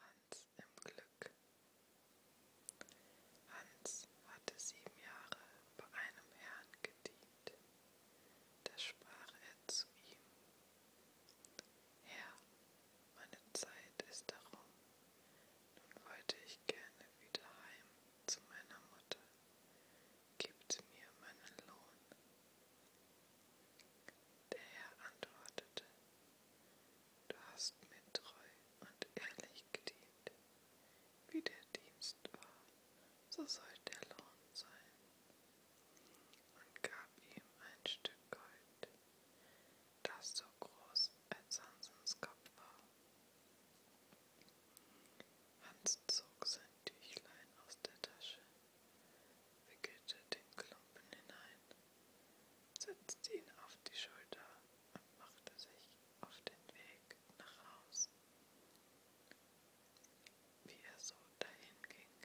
Hans im Glück. Hans hatte sieben Jahre bei einem Herrn gedient. Da sprach er zu ihm, Herr, meine Zeit ist darum, nun wollte ich gerne wieder heim zu meiner Mutter. Gibt mir meinen Lohn. Der Herr antwortete, Du hast mir treu und ehrlich gedient. Wie der Dienst war, so soll der Lohn sein. Und gab ihm ein Stück Gold das so groß als Hansens Kopf war. Hans zog sein Tüchlein aus der Tasche, wickelte den Klumpen hinein, setzte ihn auf die Schulter und machte sich auf den Weg nach Haus. Wie er so dahin ging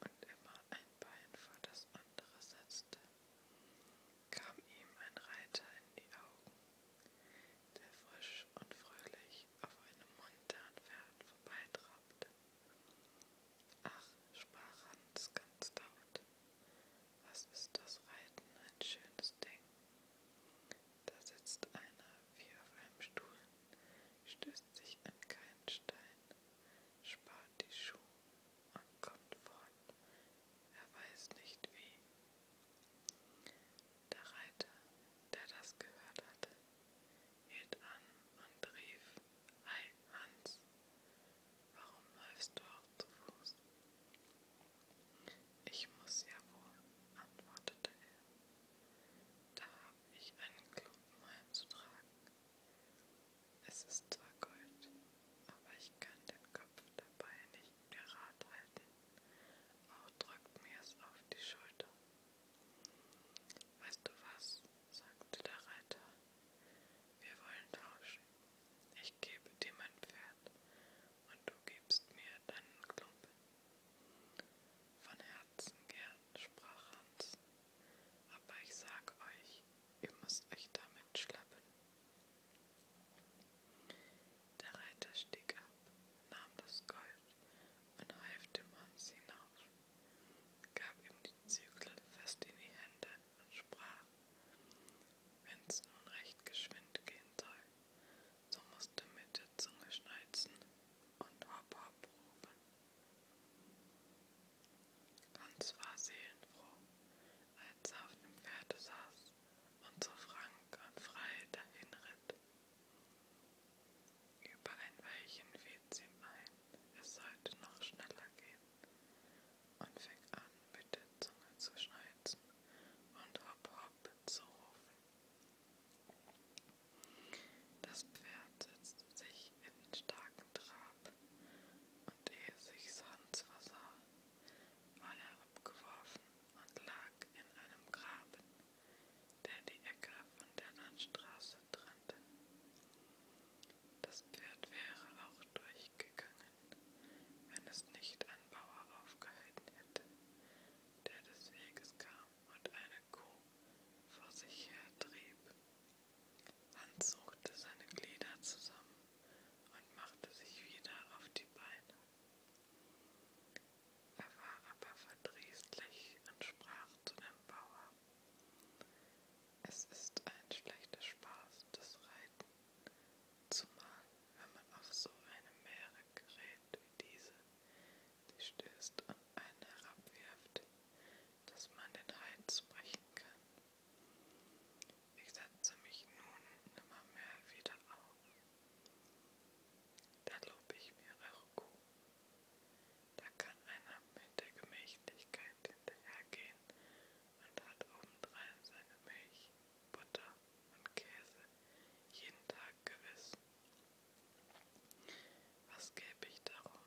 und immer ein Bein vor das andere setzte, kam ihm ein Reiter in die Augen, der frisch und fröhlich auf einem munteren Pferd vorbeitrabte. Ach, sprach Hans ganz laut, was ist das Reiten ein schönes Ding? Da sitzt einer wie auf einem Stuhl, stößt sich an keinen Stein, spart die Schuhe man kommt fort, er weiß nicht wie. Der Reiter, der das gehört hatte, hielt an und rief, Ei, Hans, warum läufst du auch zu Fuß? Ich muss ja wohl, antwortete er. Da habe ich einen Klumpen heimzutragen. Es ist zwar Gold, aber ich kann den klopft dabei nicht gerade halten, auch drückt mir es auf die Schulter. Weißt du was, sagte der Reiter, wir wollen tauschen. Ich gebe dir mein Pferd und du gibst mir deinen Klumpen. Von Herzen gern, sprach Hans, aber ich sag euch, Ihr müsst euch damit schlappen. Der Reiter stieg ab, nahm das Gold und half dem Hans hinauf, gab ihm die Zügel fest in die Hände und sprach, wenn's nun recht geschwind gehen soll, so musst du mit der Zunge schnalzen und hopp hopp rufen. Hans war seelenfroh, als er auf dem Pferde saß und zu frank und frei dahinritt. Über ein Weilchen fiel es ihm ein, es sollte noch schneller gehen, und fing an, mit der Zunge zu schneuzen und hopp hopp zu rufen. Das Pferd setzte sich in starken Trab, und ehe sich's Hans versah, war er abgeworfen und lag in einem Graben, der die Ecke von der Landstraße trennte. Das Pferd wäre auch durchgegangen, wenn es nicht ein Bauer aufgehalten hätte, der des Weges kam und eine Kuh vor sich her trieb. Hans suchte seine Glieder zusammen und machte sich wieder auf die Beine. Er war aber verdrießlich und sprach zu dem Bauer, es ist ein schlechter Spaß, das Reiten, zumal wenn man auf so eine Meere gerät wie diese, die stößt und einen herabwirft, dass man den Hals brechen kann. Ich setze mich nun immer mehr wieder auf. Da lobe ich mir eure Kuh. Da kann einer mit der Gemächlichkeit hinterhergehen und hat obendrein seine Milch, Butter und Käse jeden Tag gewiss. Was gäbe ich darum,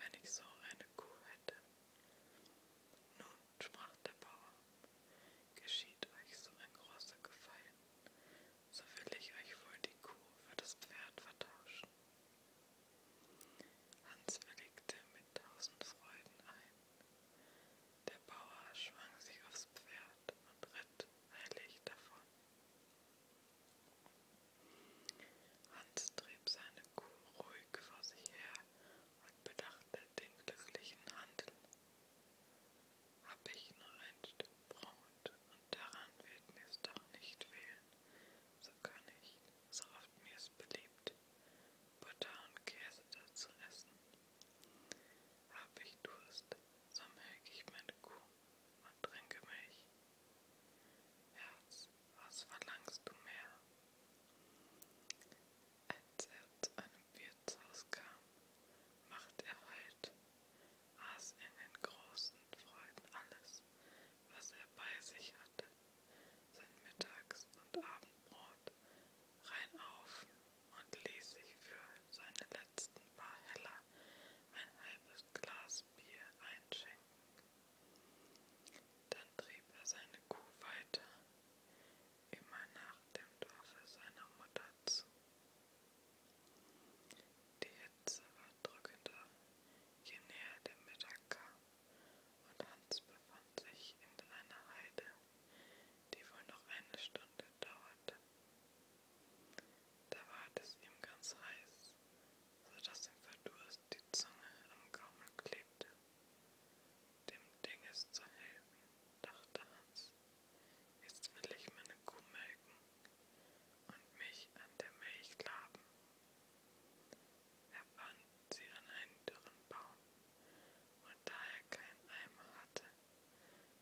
wenn ich so eine Kuh hätte? Nun, sprach der Bauer, geschieht euch so ein großer Gefallen, so will ich euch wohl die Kuh für das Pferd vertauschen. Hans willigte mit tausend Freuden ein. Der Bauer schwang sich aufs Pferd und ritt heilig davon. Hans trieb seine Kuh ruhig vor sich her und bedachte den glücklichen Handel. Hab ich nur ein Stück Brot und daran wird mir's doch nicht fehlen, so kann ich, so oft mir's beliebt, Butter und Käse dazu essen. Hab ich Durst, so melk ich meine Kuh und trinke Milch. Herz, was verlangst du mehr? Als er zu einem Wirtshaus kam, machte er Halt, aß in den großen Freuden alles, was er bei sich hatte, sein Mittags- und Abendbrot, rein auf und ließ sich für seine letzten paar Heller ein halbes Glas Bier einschenken. Dann trieb er seine Kuh weiter, immer nach dem Dorfe seiner Mutter zu. Die Hitze war drückender, je näher der Mittag kam, und Hans befand sich in einer Heide, die wohl noch eine Stunde dauerte. Da ward es ihm ganz heiß, so dass ihm vor Durst die Zunge am Gaumen klebte. Dem Ding ist zu helfen, dachte Hans. Jetzt will ich meine Kuh melken und mich an der Milch laben. Er fand sie an einen dürren Baum, und da er keinen Eimer hatte,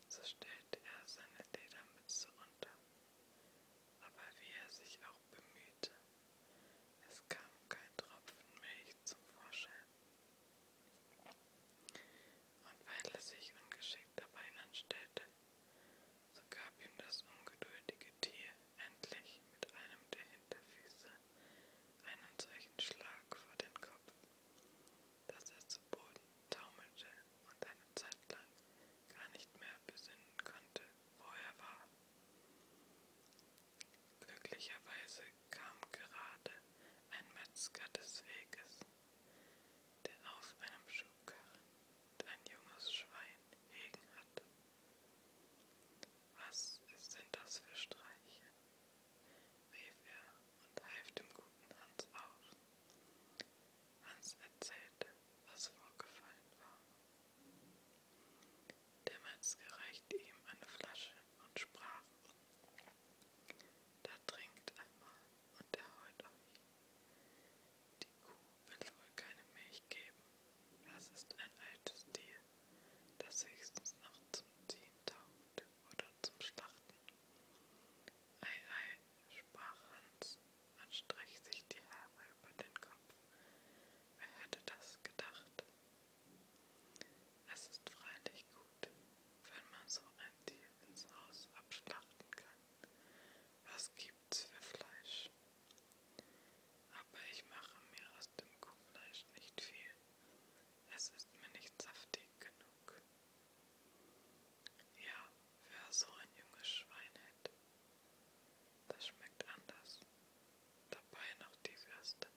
so stellte er seine Ledermütze unter. Aber wie er sich auch bemühte. Es kam kein Tropfen Milch zum Vorschein. Und weil er sich ungeschickt dabei anstellte, so gab ihm das ungeduldige Tier endlich mit einem der Hinterfüße einen solchen Schlag vor den Kopf, dass er zu Boden taumelte und eine Zeit lang gar nicht mehr besinnen konnte, wo er war. Glücklicherweise kam gerade ein Metzger des Weges, der auf einem Schubkarren ein junges Schwein hegen hatte. Was sind das für Streiche? rief er und half dem guten Hans auf. Hans erzählte, was vorgefallen war. Der Metzger reichte ihm eine Flasche und sprach, da trinkt einmal und erheut euch. Die Kuh will wohl keine Milch geben, das ist ein altes Tier, das höchstens noch zum Ziehen taugt oder zum Schlachten. Ei, ei, sprach Hans und strich sich die Haare über den Kopf. Wer hätte das gedacht? Es ist freilich gut, wenn man so ein Tier ins Haus abschlachten kann. Was gibt's für Fleisch? Aber ich mache mir aus dem Kuhfleisch nicht viel. Es ist mir nicht saftig genug. Ja, wer so ein junges Schwein hätte, das schmeckt anders. Dabei noch die Würste.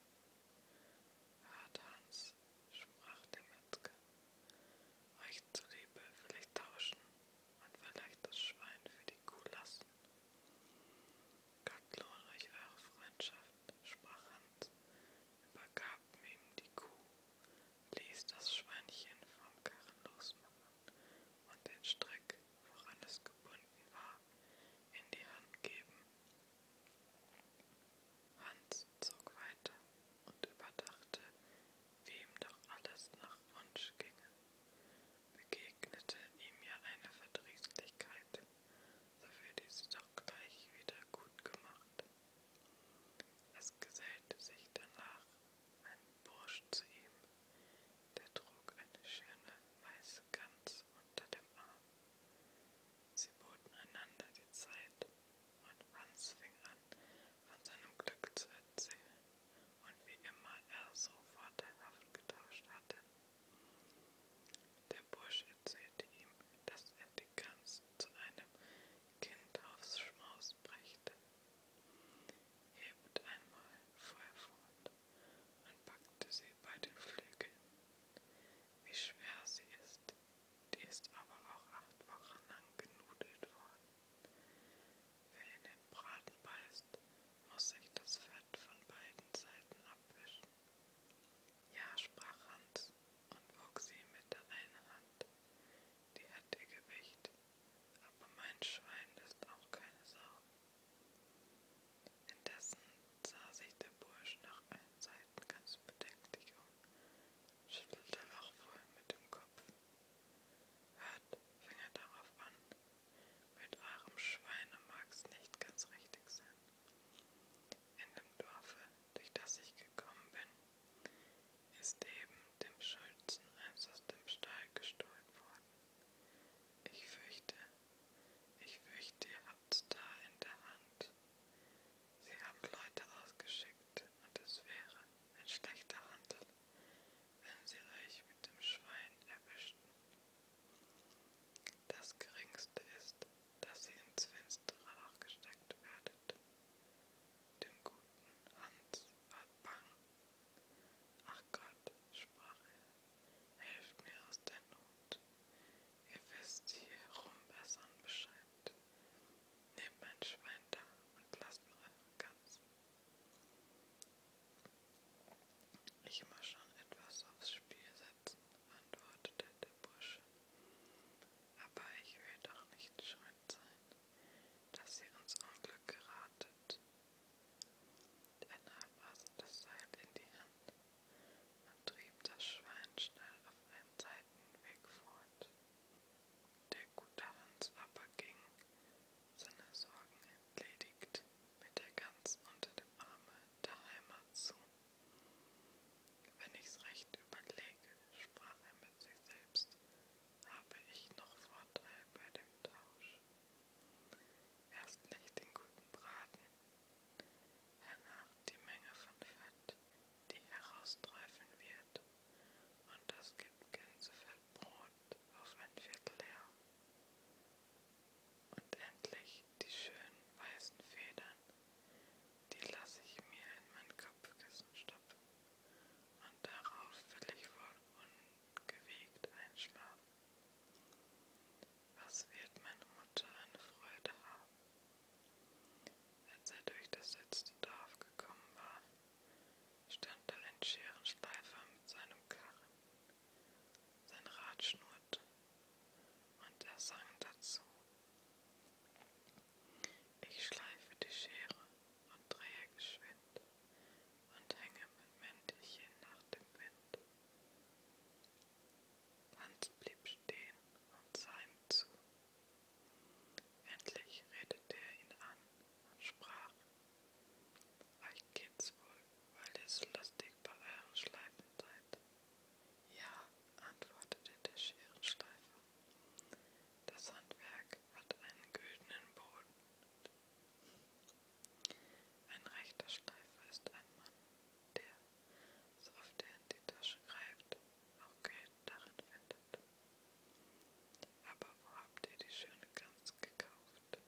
Harthans, sprach der Metzger. Euch zuliebe will ich tauschen und vielleicht das Schwein für die Kuh lassen. Gott lohne euch eure Freundschaft, sprach Hans, übergab ihm die Kuh, ließ das Schweinchen vom Karren losmachen und den Strick, woran es gebunden war, in die Hand geben. Hans zog weiter und überdachte, wie ihm doch alles nach Wunsch ginge. Begegnete ihm ja eine Verdrießlichkeit, so wird dies doch gleich wieder gut gemacht. Es gesellte sich danach ein Bursch zu ihm. Der trug eine schöne weiße Gans unter dem Arm. Sie boten einander die Zeit, und Hans fing an, von seinem Glück zu erzählen, und wie immer er so vorteilhaft getauscht hatte. Der Bursch erzählte ihm, dass er die Gans zu einem Kind aufs Schmaus brächte. Hebt einmal, fuhr er fort, und packte sie bei den Flügeln. Wie schwer sie ist, die ist aber auch acht Wochen lang genudelt worden. Wer in den Braten beißt, muss sich das Fett von beiden Seiten abwischen. Ja, sprach Hans und wog sie mit der einen Hand. Die hat ihr Gewicht aber mein Schwein ist auch keine Sau. Indessen sah sich der Bursch nach allen Seiten ganz bedenklich um, schüttelte auch wohl mit dem Kopf. Hört, fing er darauf an, mit eurem Schweine mag's nicht ganz richtig sein. In dem Dorfe, durch das ich gekommen bin, ist eben dem Schulzen eins also aus dem Stall gestohlen worden sagen. Ich fürchte, ich fürchte, ihr habt's da in der Hand. Sie haben Leute ausgeschickt und es wäre ein schlechter Handel, wenn sie euch mit dem Schwein erwischten. Das Geringste ist, dass ihr ins Finstere Loch gesteckt werdet. Dem guten Hans war bang, Ach Gott, sprach er, helft mir aus der Not. Ihr wisst hierum bessern Bescheid. Nehmt mein Schwein da und lasst mir eure Katze. Ich muss schon etwas aufs Spiel setzen, antwortete der Bursche. Aber ich will doch nicht schuld sein dass ihr ins Unglück geratet. Er nahm also das Seil in die Hand und trieb das Schwein schnell auf einen Seitenweg fort. Der gute Hans aber ging, seine Sorgen entledigt, mit der Gans unter dem Arme der Heimat zu. Wenn ich's recht überlege, sprach er mit sich selbst, habe ich noch Vorteil bei dem Tausch. Erst nicht den guten Braten, danach die Menge von Fett, die herausträufeln wird, und das gibt Gänsefettbrot auf ein Viertel her. Und endlich die schönen weißen Federn, die lasse ich mir in mein Kopfkissen stopfen, und darauf will ich wohl gewegt einschlafen. Was wird meine Mutter eine Freude haben? Als er durch das letzte Dorf gekommen war, stand da ein Scherenschleifer mit seinem Karren. Sein Rad schnurrte und er sang dazu. Ich schleife die Schere und drehe geschwind, und hänge mit Mäntelchen nach dem Wind. Hans blieb stehen und sah ihm zu. Endlich redete er ihn an und sprach, euch geht's wohl, weil ihr so lustig bei euren Schleifen seid. Ja, antwortete der Scherenschleifer. Das Handwerk hat einen güldenen Boden, ein rechter Schleifer ist ein Mann, der, so oft er in die Tasche greift, auch Geld darin findet. Aber wo habt ihr die schöne Gans gekauft?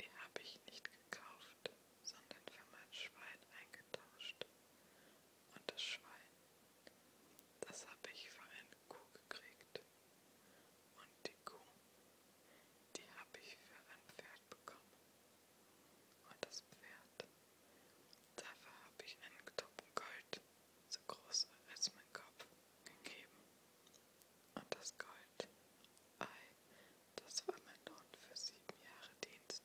Die habe ich nicht gekauft, sondern für mein Schwein eingetauscht. Und das Schwein, das habe ich für eine Kuh gekriegt gemerkt. Und die Kuh, die habe ich für ein Pferd bekommen. Und das Pferd, dafür habe ich einen Topfen Gold, so groß als mein Kopf, gegeben. Und das Gold, ei, das war mein Lohn für sieben Jahre Dienst.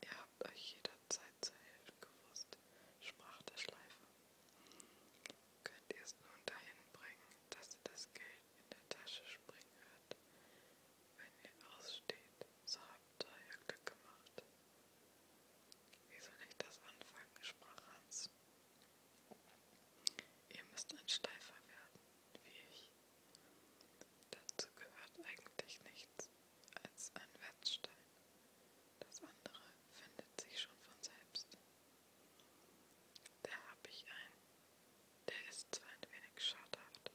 Ihr habt euch jederzeit Seilzeichen gewusst, sprach der Schleifer. Könnt ihr es nun dahin bringen, dass ihr das Geld in der Tasche springen hört? Wenn ihr aussteht, so habt ihr Glück gemacht. Wie soll ich das anfangen? sprach Hans. Ihr müsst ein Schleifer werden, wie ich. Dazu gehört eigentlich nichts als ein Wettstein. Das andere findet sich schon von selbst. Da habe ich einen. Der ist zwar ein wenig schadhaft,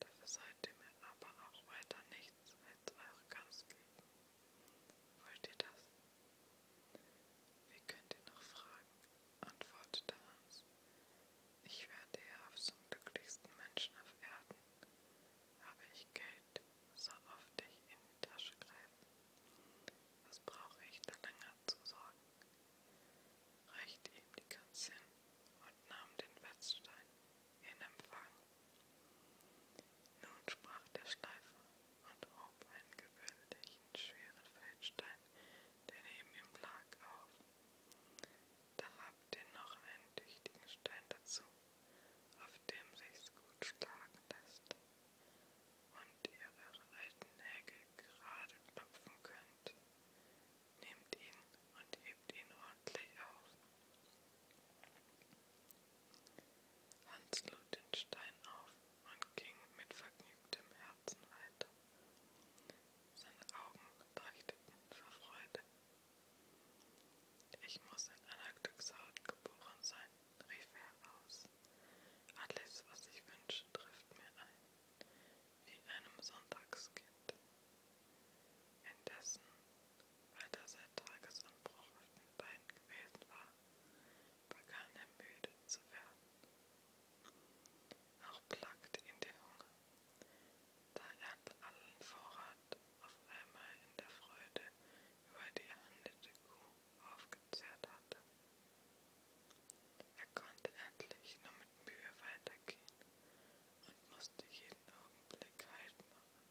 dafür seid ihr mir aber auch weiter nichts als eure Gans geben. Wollt ihr das? Wie könnt ihr noch fragen? antwortete Hans. Ich werde ja auf zum glücklichsten Menschen auf Erden. Habe ich Geld, so oft ich in die Tasche greife. Was brauche ich da länger zu sorgen? Reichte ihm die Katze hin und nahm den Wetzstein in Empfang. Nun sprach der Schleifer und hob einen gewöhnlichen schweren Feldstein, der neben ihm lag, auf. Da habt ihr noch einen tüchtigen Stein dazu, auf dem sich's gut schlagen lässt und ihr eure alten Nägel gerade klopfen könnt. Nehmt ihn und hebt ihn ordentlich auf. Hans lud den Stein auf und ging mit vergnügtem Herzen weiter. Seine Augen leuchteten vor Freude, ich muss in Anaktoxaut geboren sein, rief er aus. Alles, was ich wünsche, trifft mir ein, wie einem Sonntagskind. Indessen, weil er seit Tagesanbruch auf den Beinen gewesen war, begann er müde zu werden. Auch plagte ihn der Hunger. Da er allen Vorrat auf einmal in der Freude über die erhandelte Kuh aufgezehrt hatte. Er konnte endlich nur mit Mühe weitergehen und musste jeden Augenblick Halt machen.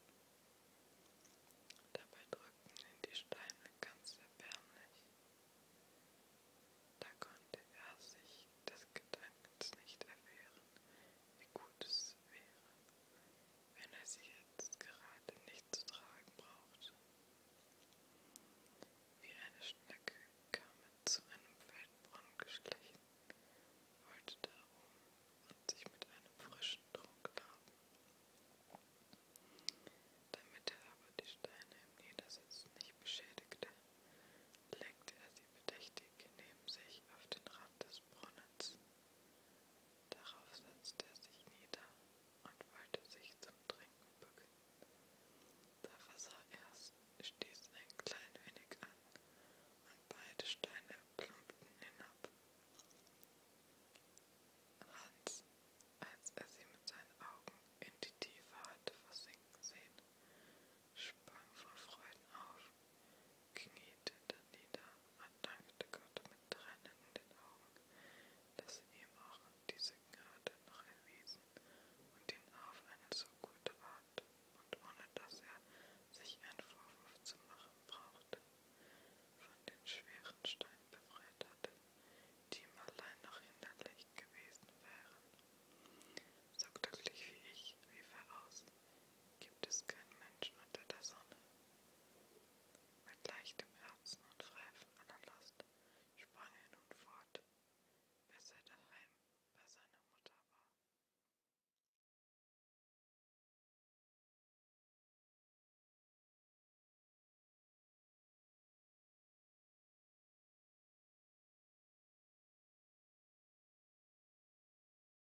Dabei drückten ihn die Steine ganz erbärmlich. Da konnte er sich des Gedankens nicht erwehren, wie gut es wäre, wenn er sie jetzt gerade nicht zu tragen brauchte. Wie eine Schnecke kam er zu einem Feldbrunnen geschlichen, wollte darum und sich mit einem frischen Trunk laben. Damit er aber die Steine im Niedersitzen nicht beschädigte, legte er sie bedächtig neben sich auf den Rand des Brunnens Darauf setzte er sich nieder und wollte sich zum Trinken bücken. Da versah erst, stieß ein klein wenig an und beide Steine plumpten hinab. Hans, als er sie mit seinen Augen in die Tiefe hatte versinken sehen, sprang vor Freuden auf kniete dann nieder und dankte Gott mit Tränen in den Augen, dass er ihm auch diese Gnade noch erwiesen und ihn auf eine so gute Art und ohne dass er sich einen Vorwurf zu machen brauchte, von den schweren Steinen befreit hatte, die ihm allein noch hinderlich gewesen wären. So glücklich wie ich, rief er aus, gibt es keinen Menschen unter der Sonne. Mit leichtem Herzen und frei von aller Last sprang er nun fort, bis er daheim bei seiner Mutter war.